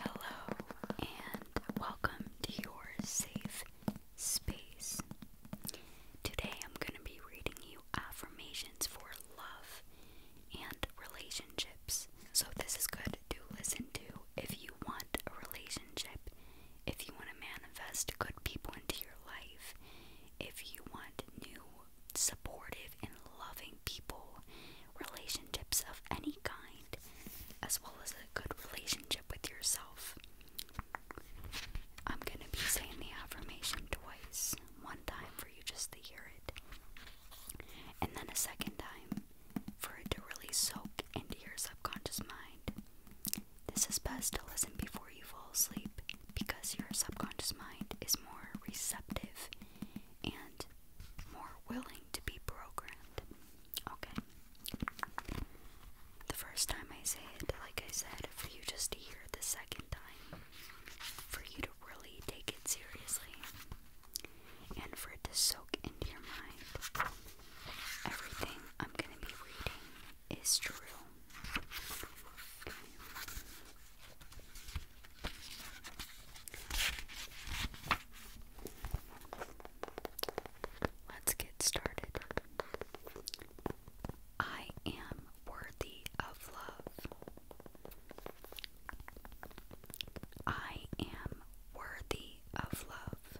Hello, and welcome to your safe space. Today I'm going to be reading you affirmations for love and relationships. So, this is good to listen to if you want a relationship, if you want to manifest good people into your life, if you want new supportive supportive and loving people, relationships of any kind, as well as a good relationship with yourself. I'm going to be saying the affirmation twice one time for you just to hear it, and then a second time for it to really soak into your subconscious mind. This is best to listen before you fall asleep because your subconscious mind is more receptive and more willing to be programmed. Okay. The first time I say it, like I said, for you just to hear the second time, for you to really take it seriously, and for it to soak into your mind. Everything I'm going to be reading is true. Let's get started. I am worthy of love. I am worthy of love.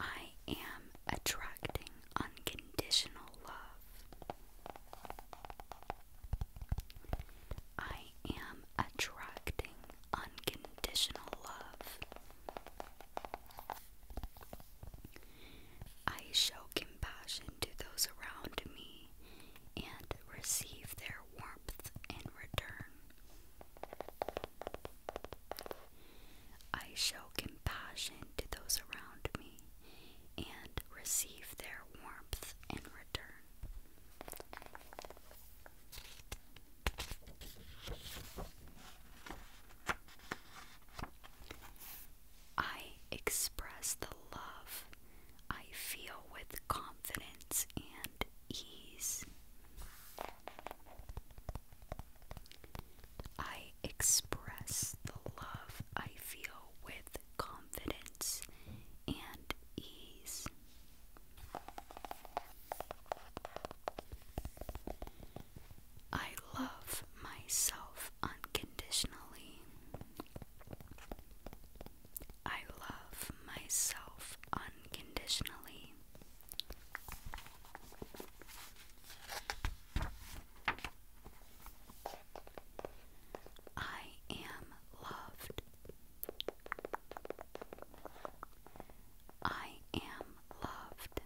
I am attracting unconditional love. I am attracting unconditional love. I show compassion to those around me and receive their warmth in return. I show compassion to those around me and receive their warmth in return. I express the love I feel with confidence and ease. I I express the love I feel with confidence and ease. I love myself unconditionally. I love myself unconditionally. I am loved. I am loved.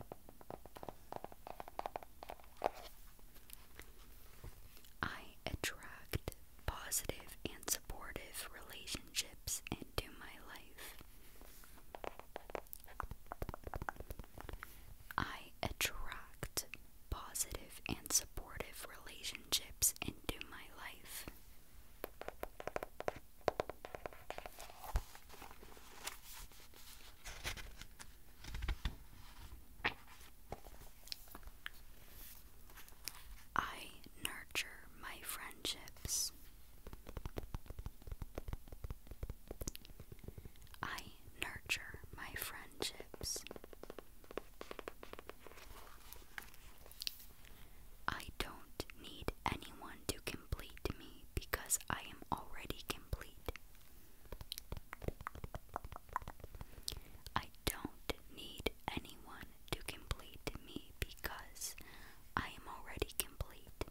I attract positive and supportive relationships into my life. I attract positive and supportive relationships into my life. I nurture my friendships. I nurture my friendships. I don't need anyone to complete me because I am already complete. I don't need anyone to complete me because I am already complete.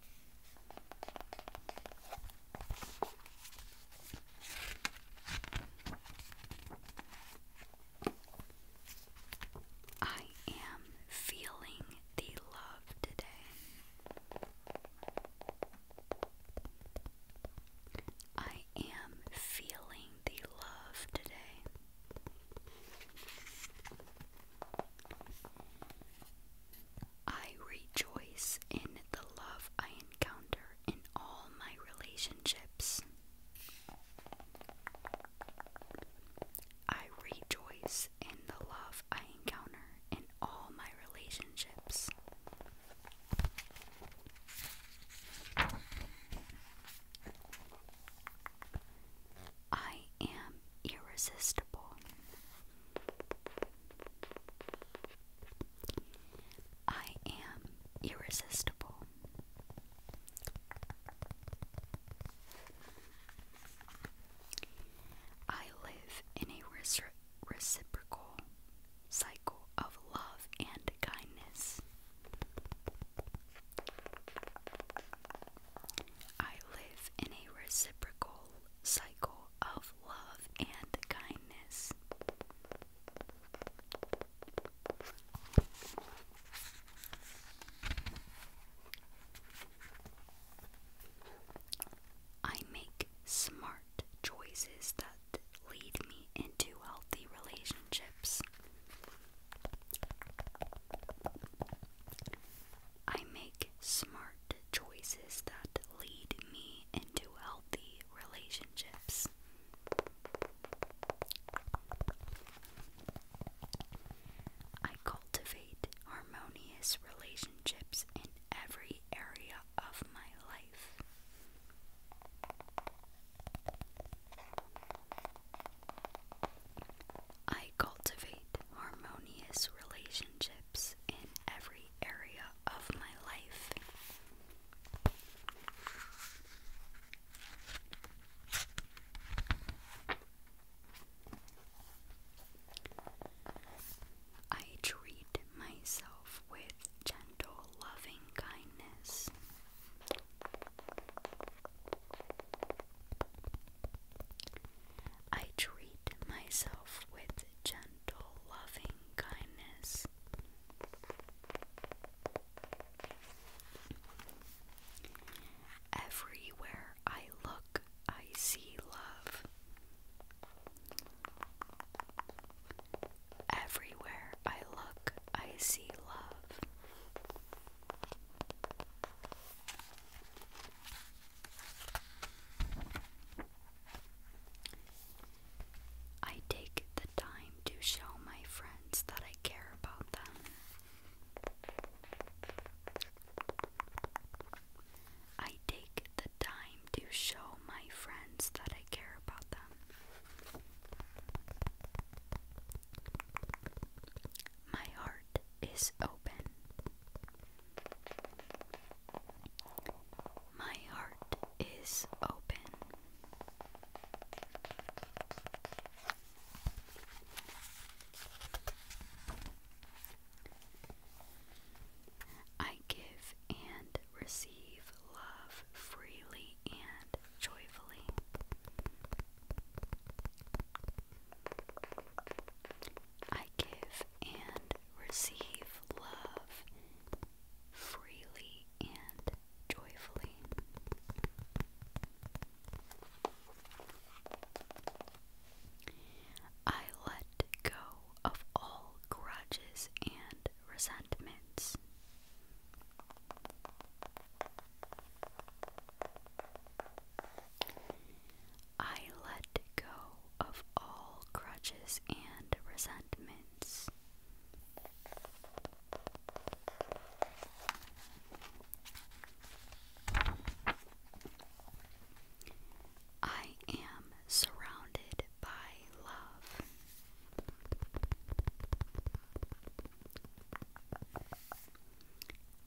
I am feeling the love today. I am feeling the love today. I rejoice in the love I encounter in all my relationships. I rejoice in the love I encounter in all my relationships. I am irresistible. I am irresistible. I live in a reciprocal cycle of love and kindness. I live in a reciprocal cycle of love and kindness. I make smart choices that lead me into healthy relationships. I make smart choices that lead me into healthy relationships. I cultivate harmonious relationships in every area of my life. I cultivate harmonious relationships in every area of my life. I treat myself with gentle, loving kindness. I treat myself with gentle, loving kindness. Everywhere I look, I see love. Everywhere I look, I see love. I take the time to show my friends that I care about them. I take the time to show my friends that I care about them. My heart is open. My heart is open. I give and receive love freely and joyfully. I give and receive love freely and joyfully. I let go of all grudges and resentments. I let go of all grudges and resentments. I am surrounded by love.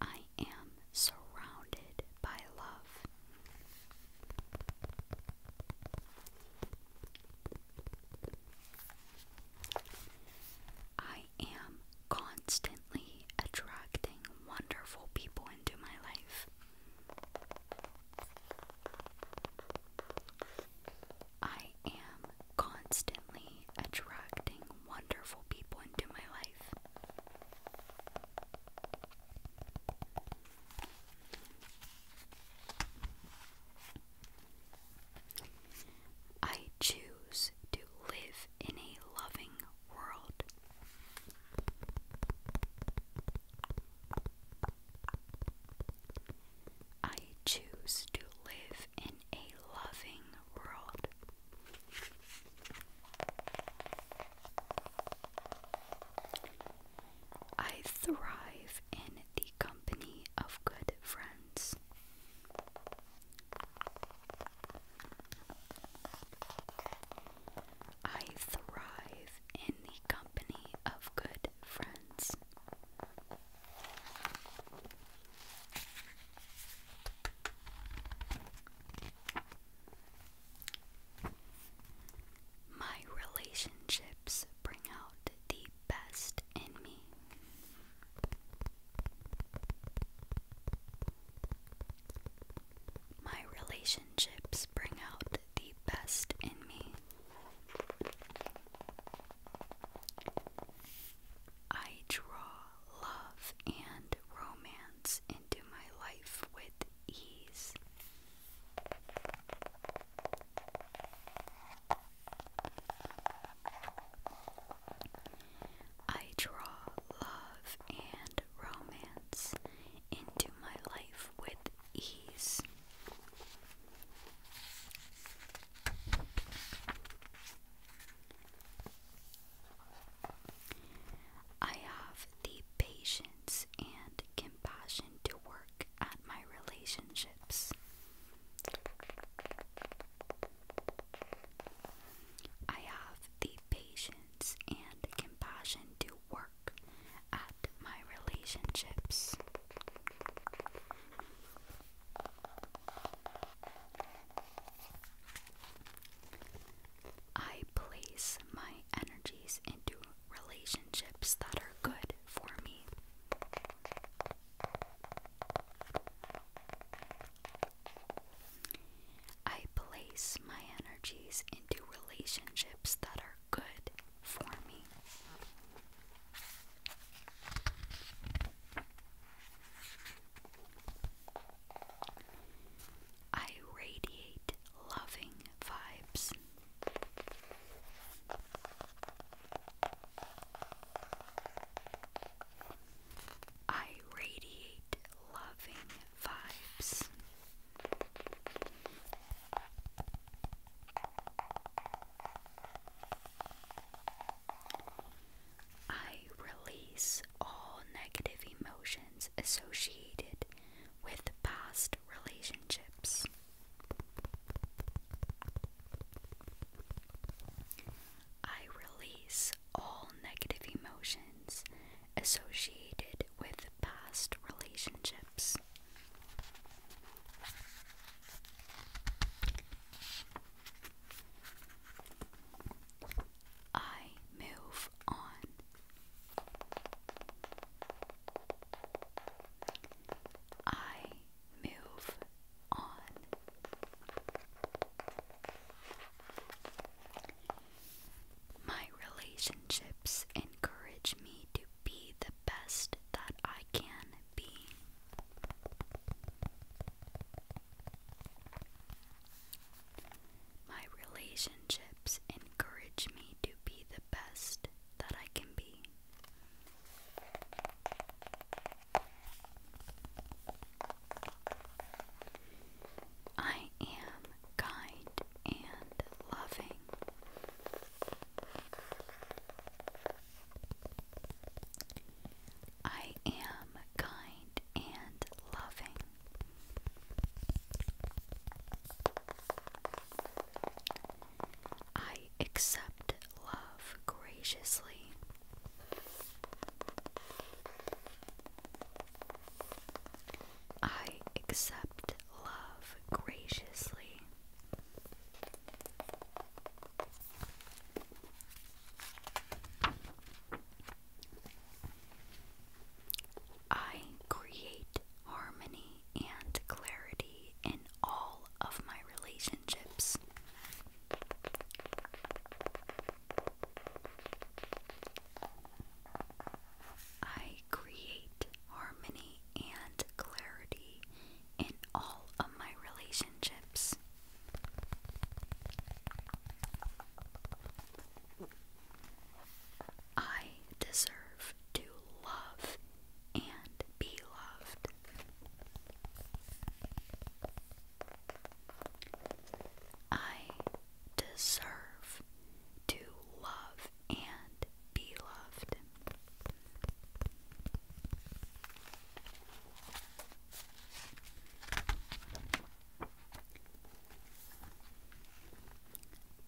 I am surrounded by love. I am constantly attracting wonderful people into my life. I am constantly attracting wonderful people into my life. I choose to live in a loving world. I choose to live in a loving world. I thrive in the the company of good friends. I thrive in the company of good friends. My relationships bring out the best in me. My relationships bring out the best in me. I draw love and romance into my life with ease. I draw love and romance into my life with ease. I have the patience and compassion to work at my relationships. I have the patience and compassion to work at my relationships. I place my energies into relationships that are good for me. I place my energies into relationships that are good for me. I radiate loving vibes. I radiate loving vibes. I release all negative emotions associated with past relationships. I release all negative emotions associated with past relationships. I move on. I move on. My relationships encourage me to be the best that I can be. My relationships encourage me to be the best that I can be. I am kind and loving. I am kind and loving. I accept love graciously. I accept love graciously. I create harmony and clarity in all of my relationships. I create harmony and clarity in all of my relationships. I deserve to love and be loved. I deserve to love and be loved.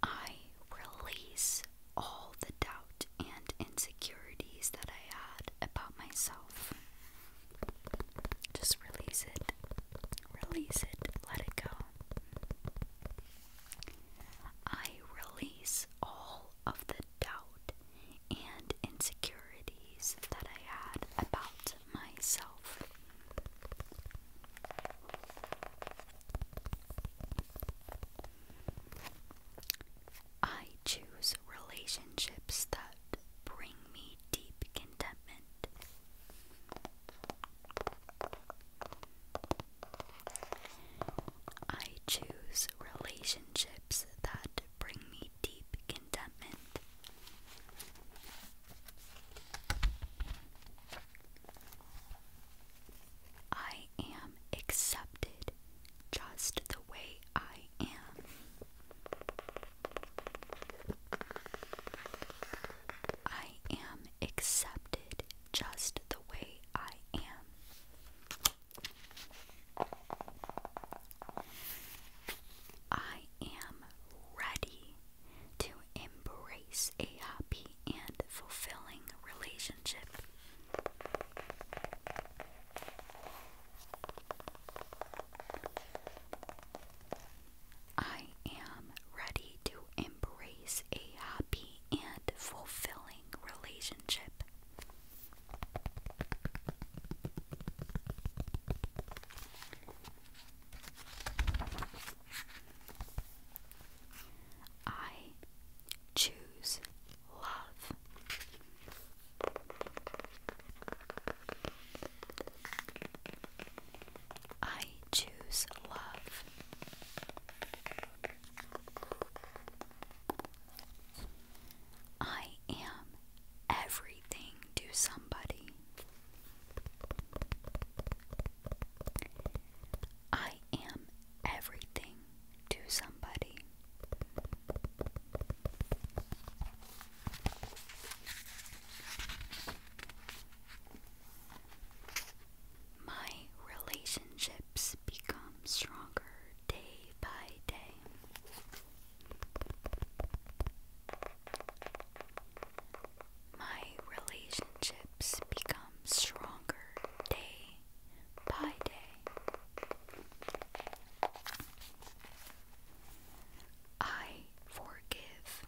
I release all the doubt doubt and insecurities that I had about myself. Just release it. Release it. Let it go. I release all of the doubt and insecurities that I had about myself. I choose relationships that bring me deep contentment. I choose relationships that bring me deep contentment. I am accepted just the way I am. I am accepted just the way I am. I am ready to embrace a happy and fulfilling relationship. I am ready to embrace a happy and fulfilling relationship. I choose love. I choose love. I am everything to somebody. I am everything to somebody. My relationships become stronger day by day. My relationships become stronger day by day. I forgive.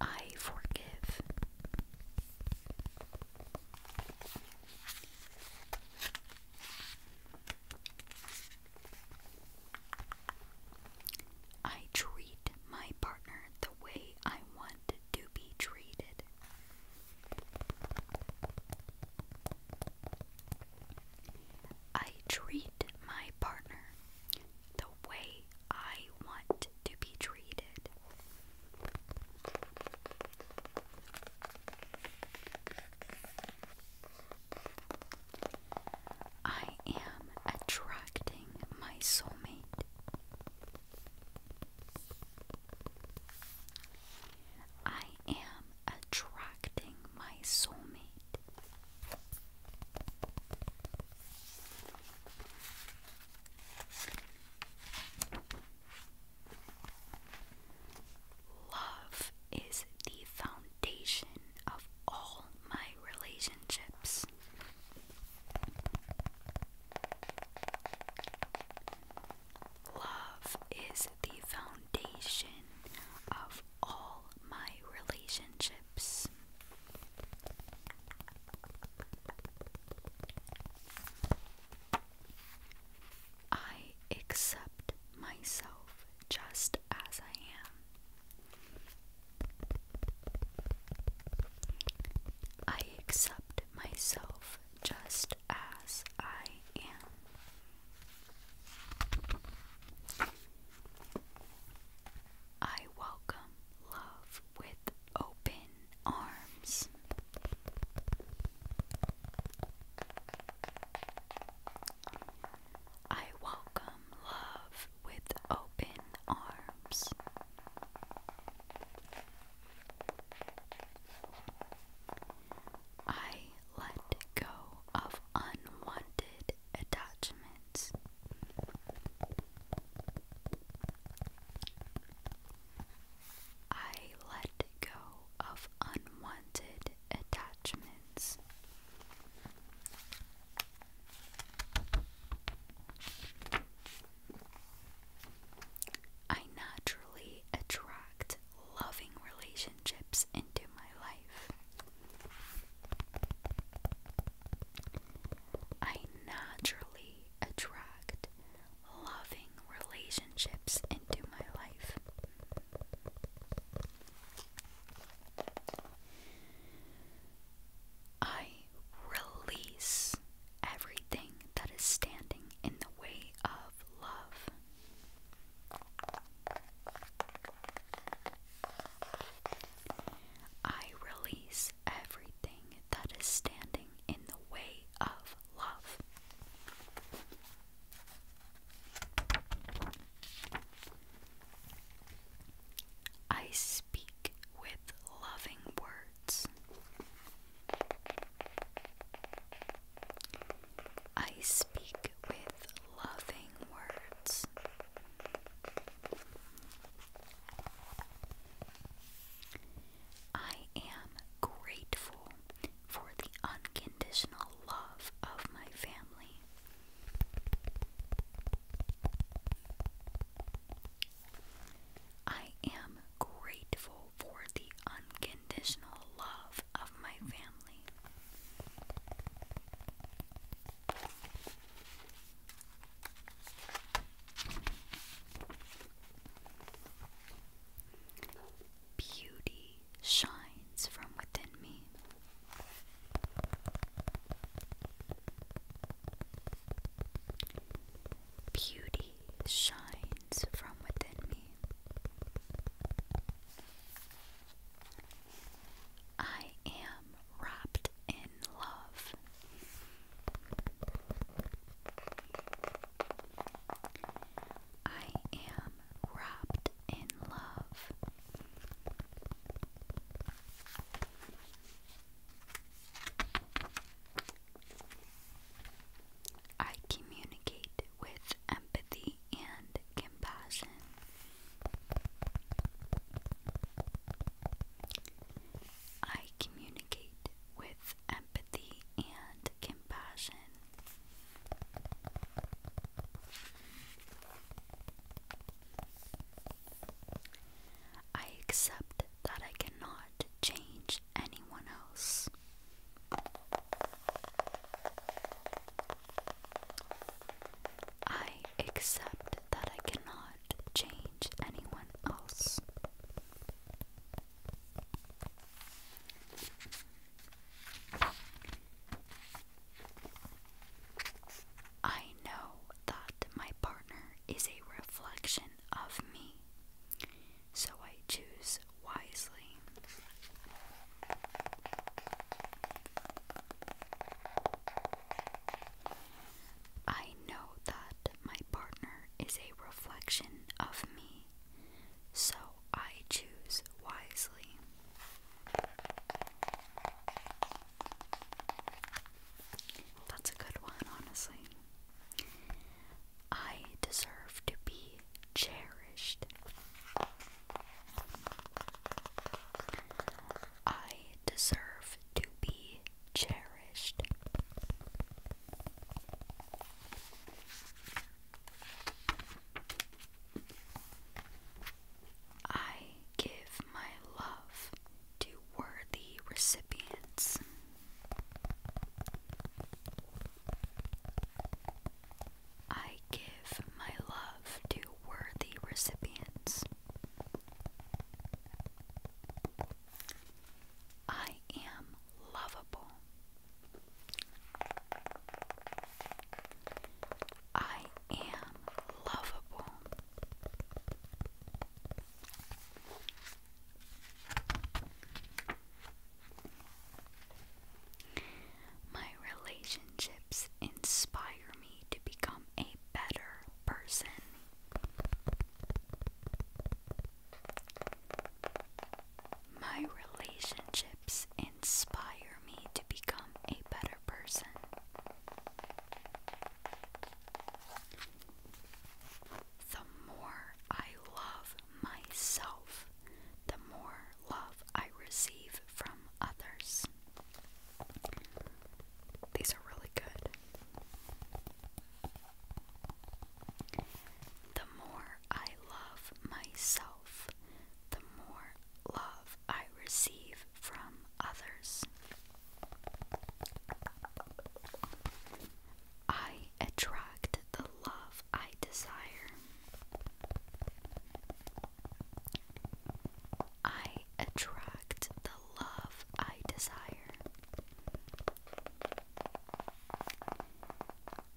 I forgive. I treat my partner the way I want to be treated. I treat my partner the way I want to be treated. I am attracting my soulmate. I am attracting my soulmate. Love is the foundation of all my relationships. Love is the foundation of all my relationships. I accept myself just as I am. I accept myself just as I am. I welcome love with open arms. I welcome love with open arms. I let go of unwanted attachments. I let go of unwanted attachments. I naturally attract loving relationships into my life. I naturally attract loving relationships into my life. I release everything that is standing in the way of love. I release everything that is standing in the way of love. I speak with loving words. I speak with loving words. I am grateful for the unconditional love of my family. I am grateful for the unconditional love of my family. Beauty shines from within me. Beauty shines from within me. I am wrapped in love. I am wrapped in love. I communicate with empathy and compassion. I communicate with empathy and compassion. I accept that I cannot not change anyone else. I accept that I cannot change anyone else. I know that my partner is a reflection of me so I choose wisely. I know that my partner is a reflection of me, so I choose wisely. That's a good one, honestly. I deserve to be cherished. I deserve to be cherished. I give my love to worthy recipients. I give my love to worthy recipients. I am lovable. I am lovable. My relationships inspire me to become a better person. My relationships inspire me to become a better person. The more I love myself, the more love I receive from others. These are really good. The more I love myself, the more love I receive from others. I attract the love I desire. I attract the love I desire.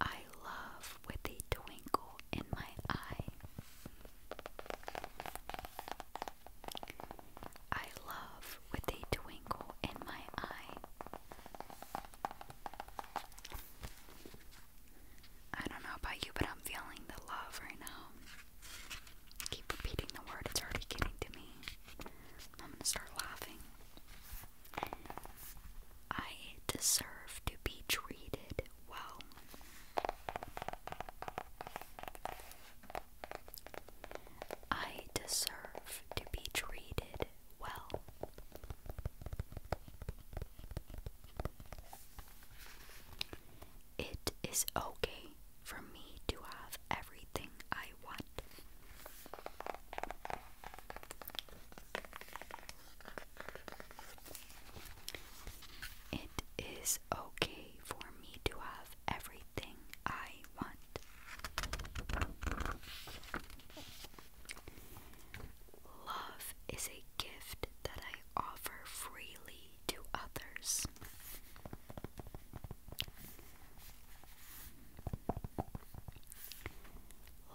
I love with a twinkle in my eye. I love with a twinkle in my eye. I don't know about you, but I'm feeling the love right now. Keep repeating the word, it's already getting to me. I'm gonna start laughing. I deserve to be treated well. I deserve to be treated well. It is okay for me to have everything I want. It is okay for me to have everything I want. Love is a gift that I offer freely to others.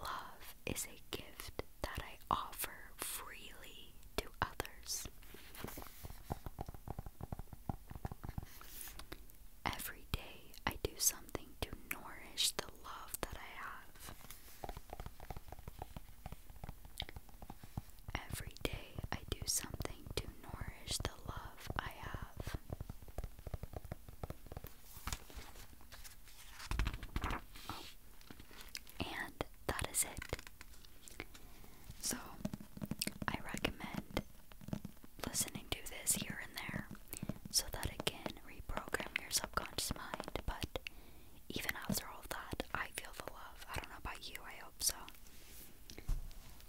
Love is a gift that I offer freely to others. Every day I do something to nourish the love that I have. Every day I do something to nourish the love I have. and that is it. So I recommend listening to this here and there so that I can reprogram your subconscious mind. But even after all that, I feel the love. I don't know about you, I hope so.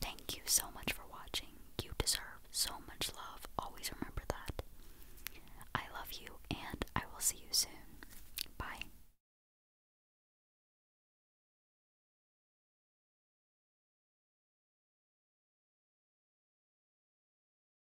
Thank you so much for watching. You deserve so much love. Always remember that. I love you, and I will see you soon. Bye.